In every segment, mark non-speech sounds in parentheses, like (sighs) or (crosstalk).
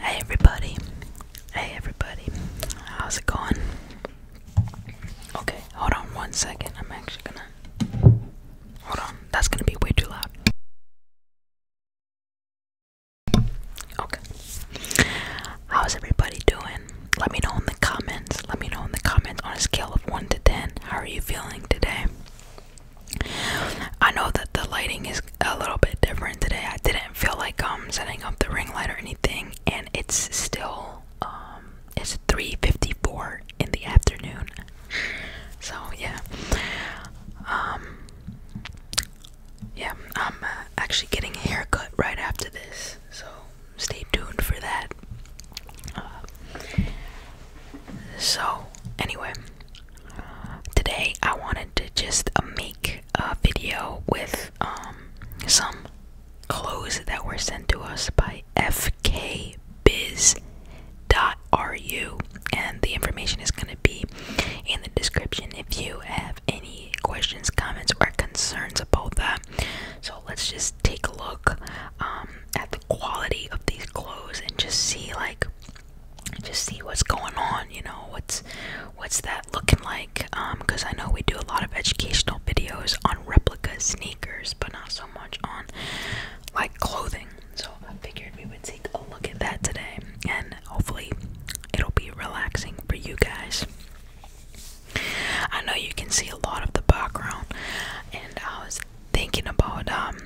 Hey everybody. Hey everybody. How's it going? Okay, hold on one second. I'm actually gonna. Hold on. That's gonna be way too loud. Okay. How's everybody doing? Let me know in the comments. Let me know in the comments on a scale of 1 to 10. How are you feeling today? I know that the lighting is a little bit different today. I didn't feel like um setting up the ring light or anything, and it's still um it's 3:54 in the afternoon. So yeah, um, yeah, I'm uh, actually getting a haircut right after this. So stay tuned for that. Uh, so anyway, today I wanted to just uh, make a video with um, some clothes that were sent to us by fkbiz.ru, and the information is going to be in the description if you have any questions, comments, or concerns about that. So let's just take a look um, at the quality of these clothes and just see like just see what's going on you know what's what's that looking like um because i know we do a lot of educational videos on replica sneakers but not so much on like clothing so i figured we would take a look at that today and hopefully it'll be relaxing for you guys i know you can see a lot of the background and i was thinking about um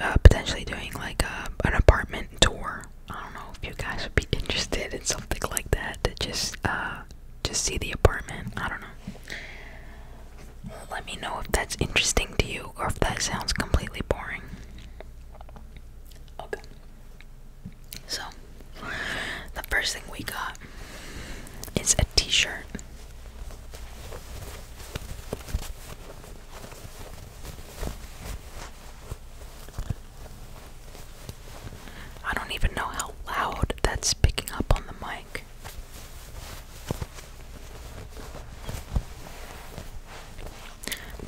uh, potentially doing like a, uh, an apartment tour. I don't know if you guys would be interested in something like that to just uh just see the apartment. I don't know. Let me know if that's interesting to you or if that sounds completely boring. Okay. So, the first thing we got is a t-shirt. I don't even know how loud that's picking up on the mic.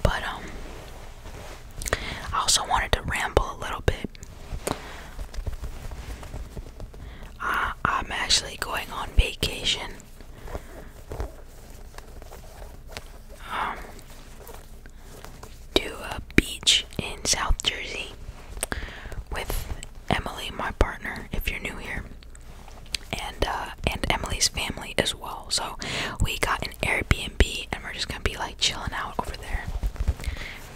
But, um, I also wanted to ramble a little bit. I, am actually going on vacation to um, a beach in South Jersey with Emily, my partner, if you're new here, and uh, and Emily's family as well. So we got an Airbnb, and we're just gonna be like chilling out over there,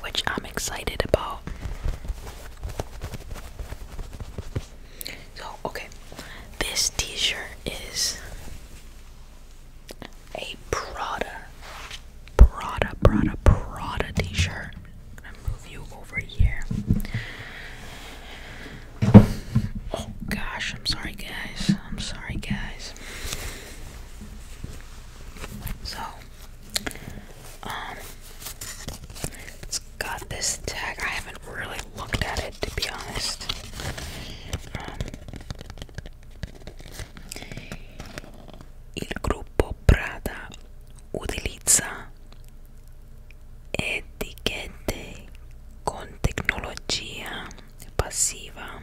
which I'm excited about. So, okay, this t shirt is a Prada, Prada, Prada, Prada t shirt. I'm gonna move you over here. Oh gosh, I'm sorry, guys. I'm sorry, guys. So, um, got this tag. I haven't really looked at it to be honest. Um, il gruppo Prada utilizza etichette con tecnologia passiva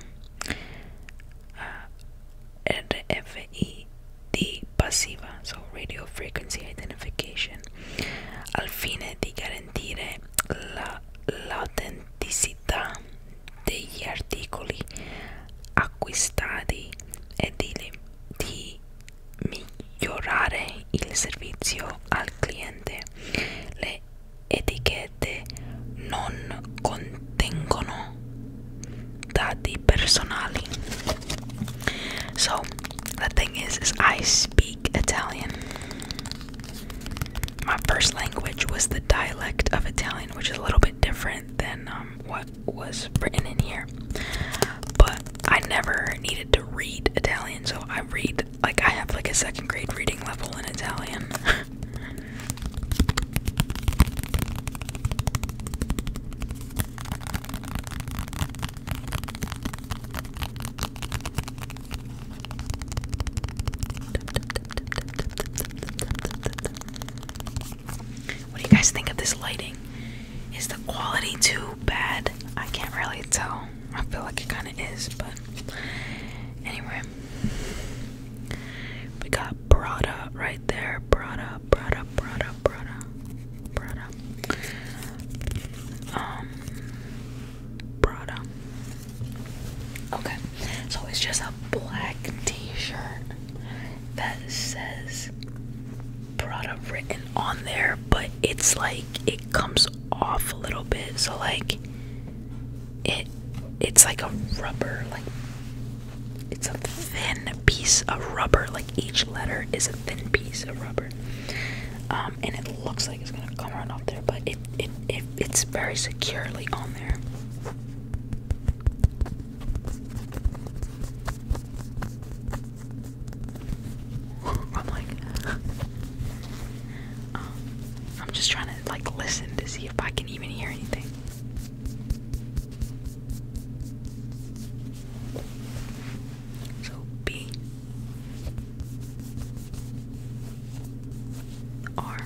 eh, RFID passiva, so radio frequency identification al fine eh, di garantire l'autenticità la, degli articoli acquistati e di, di migliorare eh, il servizio al cliente. Le etichette non contengono dati personali. So the thing is, is I speak Italian. My first language was the dialect of Italian, which is a little bit different than um, what was written in here. But I never needed to read Italian, so I read like I have like a second grade reading level in Italian. (laughs) What do you guys think of this lighting? Is the quality too bad? I can't really tell. I feel like it kind of is, but anyway. We got brought up right there. Brought Brought Brought up. up. up. Brought up. Brought up. Um, Prada. Okay, so it's just a black T-shirt that says Prada written on there, but it's like it comes off a little bit. So like it, it's like a rubber, like it's a thin piece of rubber. Like each letter is a thin piece of rubber. Um, um, and it looks like it's gonna come right off there, but it it, it it's very securely on there. (laughs) I'm like, (laughs) um, I'm just trying to like listen to see if I can even hear anything. So B R.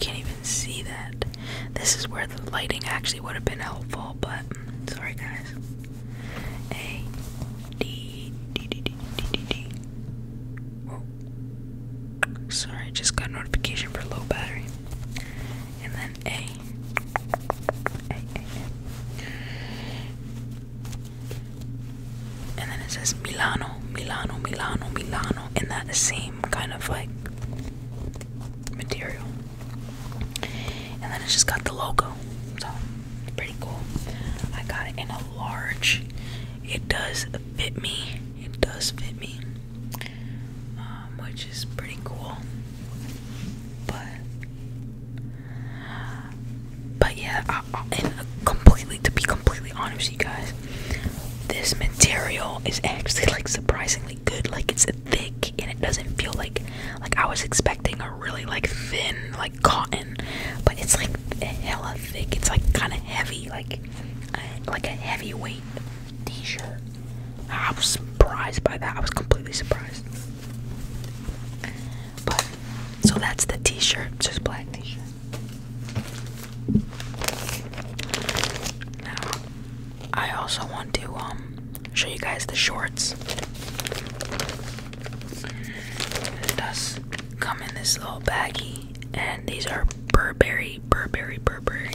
can't even see that. This is where the lighting actually would have been helpful, but sorry guys. A D D D D D D D. Whoa. Sorry, just got notification for low battery. And then A and then it says Milano, Milano, Milano, Milano, in that same kind of like material. And then it's just got the logo. So pretty cool. I got it in a large. It does fit me. It does fit me. Um, which is pretty cool. But but yeah, I, I, and completely to be completely honest, you guys, this material is actually like surprisingly good. Like it's thick and it doesn't feel like like I was expecting a really like thin like cotton, but it's like hella thick. It's like kind of heavy, like like a heavyweight T-shirt. I was surprised by that. I was completely surprised so that's the t-shirt, just black t-shirt. Now I also want to um, show you guys the shorts. does come in this little baggie and these are Burberry, Burberry, Burberry.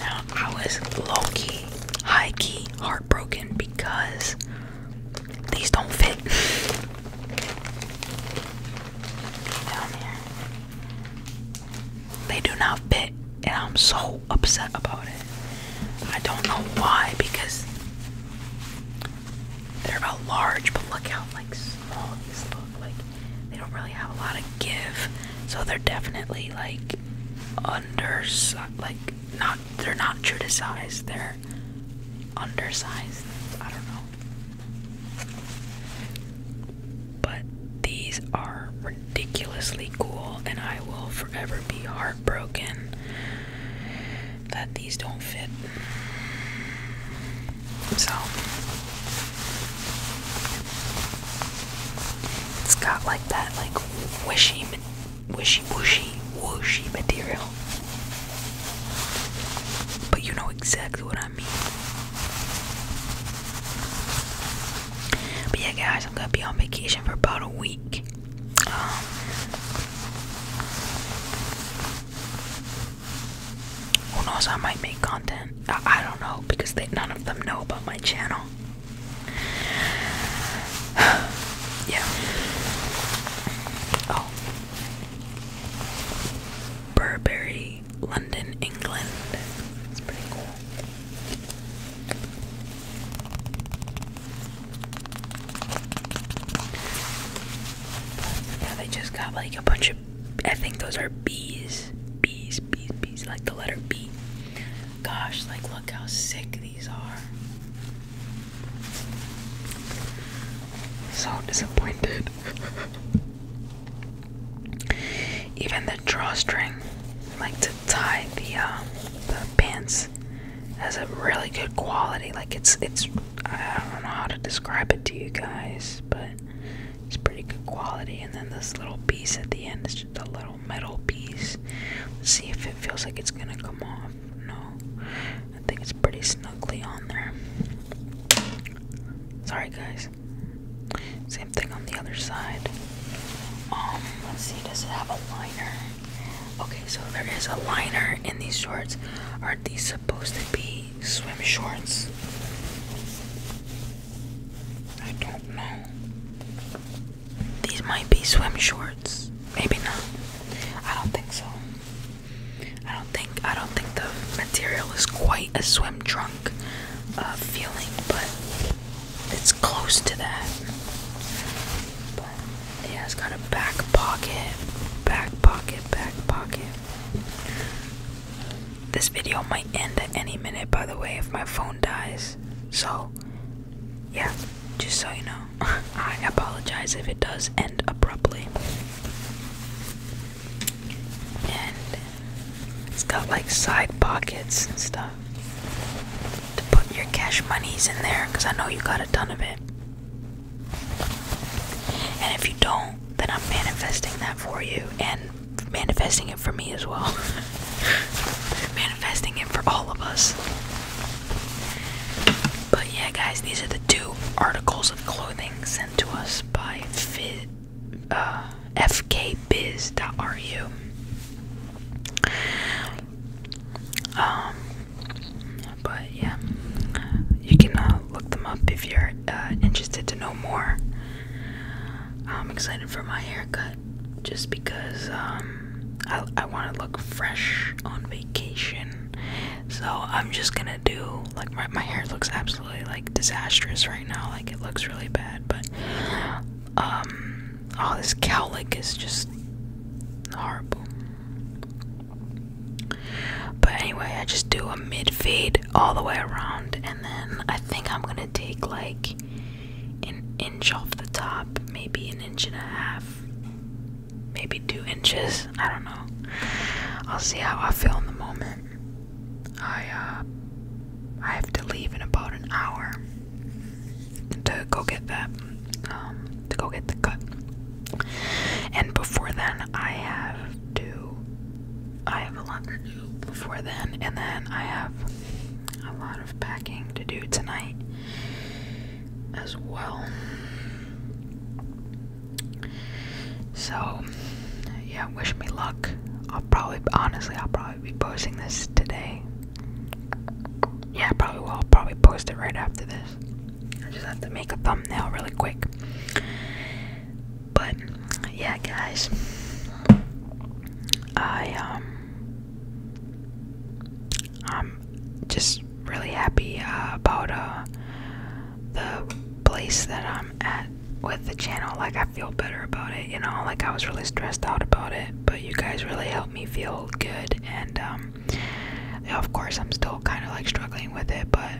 Now I was low-key, high-key, heart Broken because these don't fit. (laughs) They do not fit, and I'm so upset about it. I don't know why because they're about large, but look how like small these look. Like they don't really have a lot of give, so they're definitely like under like not they're not true to size, they're undersized. I don't know. But these are ridiculously cool and I will forever be heartbroken that these don't fit. So it's got like that like wishy wishy wooshy wooshy material. But you know exactly what I mean. But yeah guys, I'm gonna be on vacation for about a week. Um, who knows? I might make content. I, I don't know because they, none of them know about my channel. (sighs) yeah. Oh. Burberry, London, England. That's pretty cool. But they just got like a bunch of. I think those are bees. Bees, bees, bees. Like the letter B. Gosh, like look how sick these are. So disappointed. Even the drawstring, like to tie the uh, the pants, has a really good quality. Like it's it's I don't know how to describe it to you guys, but it's pretty good quality. And then this little piece at the end is just a little metal piece. Let's see if it feels like it's gonna come off. No, I think it's pretty snugly on there. Sorry, guys. Same thing on the other side. Um, let's see, does it have a liner? Okay, so there is a liner in these shorts. Are these supposed to be swim shorts? I don't know. These might be swim shorts. Maybe not. I don't think so. I don't think I don't think the material is quite a swim trunk uh, feeling, but it's close to that. But yeah, it's got a back pocket, back pocket, back pocket. This video might end at any minute, by the way, if my phone dies. So yeah, just so you know, (laughs) I apologize if it does end abruptly. And it's got like side pockets and stuff to put your cash monies in there because I know you got a ton of it. And if you don't, then I'm manifesting that for you and manifesting it for me as well. (laughs) Investing in for all of us. But yeah, guys, these are the two articles of clothing sent to us by Fid, uh, fkbiz.ru. Um, but yeah, you can uh, look them up if you're uh, interested to know more. I'm excited for my haircut just because um, I, want to look fresh on vacation. So I'm just gonna do like my, my hair looks absolutely like disastrous right now. Like it looks really bad, but oh, this cowlick is just horrible. But anyway, I just do a mid fade all the way around, and then I think I'm gonna take like an inch off the top, maybe an inch and a half maybe two inches. I don't know. I'll see how I feel in the moment. I uh, I have to leave in about an hour to go get that, um, to go get the cut. And before then, I have to. I have a lot to do before then, and then I have a lot of packing to do tonight as well. So, yeah, wish me luck. I'll probably, honestly, I'll probably be posting this today. Yeah, probably will. I'll probably post it right after this. I just have to make a thumbnail really quick. But, yeah, guys. I, um, I'm just really happy uh, about uh, the place that I'm at with the channel. Like, I feel better about it, you know? Like, I was really stressed out about it, but you guys really helped me feel good. And, um, of course, I'm still kind of like struggling with it, but,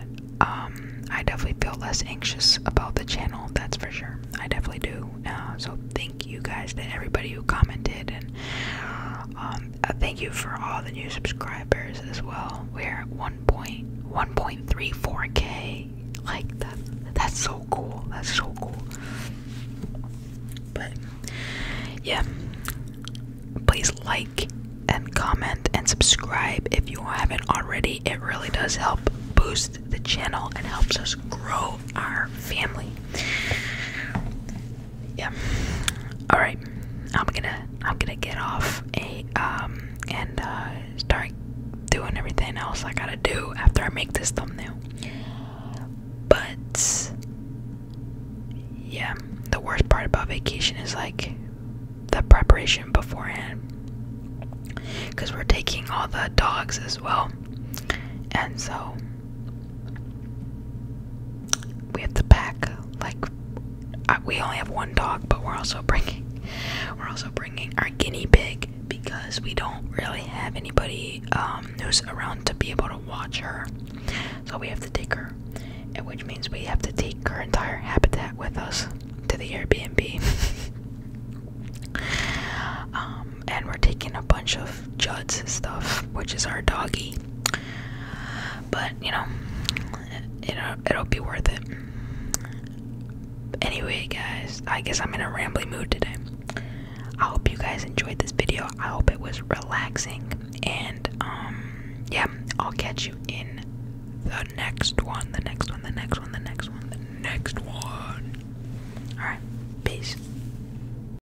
um, I definitely feel less anxious about the channel, that's for sure. I definitely do. Uh, so, thank you guys to everybody who commented and um, uh, thank you for all the new subscribers as well. We're at 1.1.34k. Like that, that's so cool. That's so cool. But yeah, please like and comment and subscribe if you haven't already. It really does help boost the channel and helps us grow our family yeah. All right, I'm gonna I'm gonna get off a um and uh, start doing everything else I gotta do after I make this thumbnail. But yeah, the worst part about vacation is like the preparation beforehand because we're taking all the dogs as well, and so we have to pack like we only have one dog, but we're also bringing we're also bringing our guinea pig because we don't really have anybody um, who's around to be able to watch her, so we have to take her, which means we have to take her entire habitat with us to the Airbnb. (laughs) Um, and we're taking a bunch of Judd's stuff, which is our doggy. But you know, you uh, know, it'll be worth it. Anyway, guys, I guess I'm in a rambling mood today. I hope you guys enjoyed this video. I hope it was relaxing, and um, yeah, I'll catch you in the next one. The next one. The next one. The next one. The next one. All right, peace.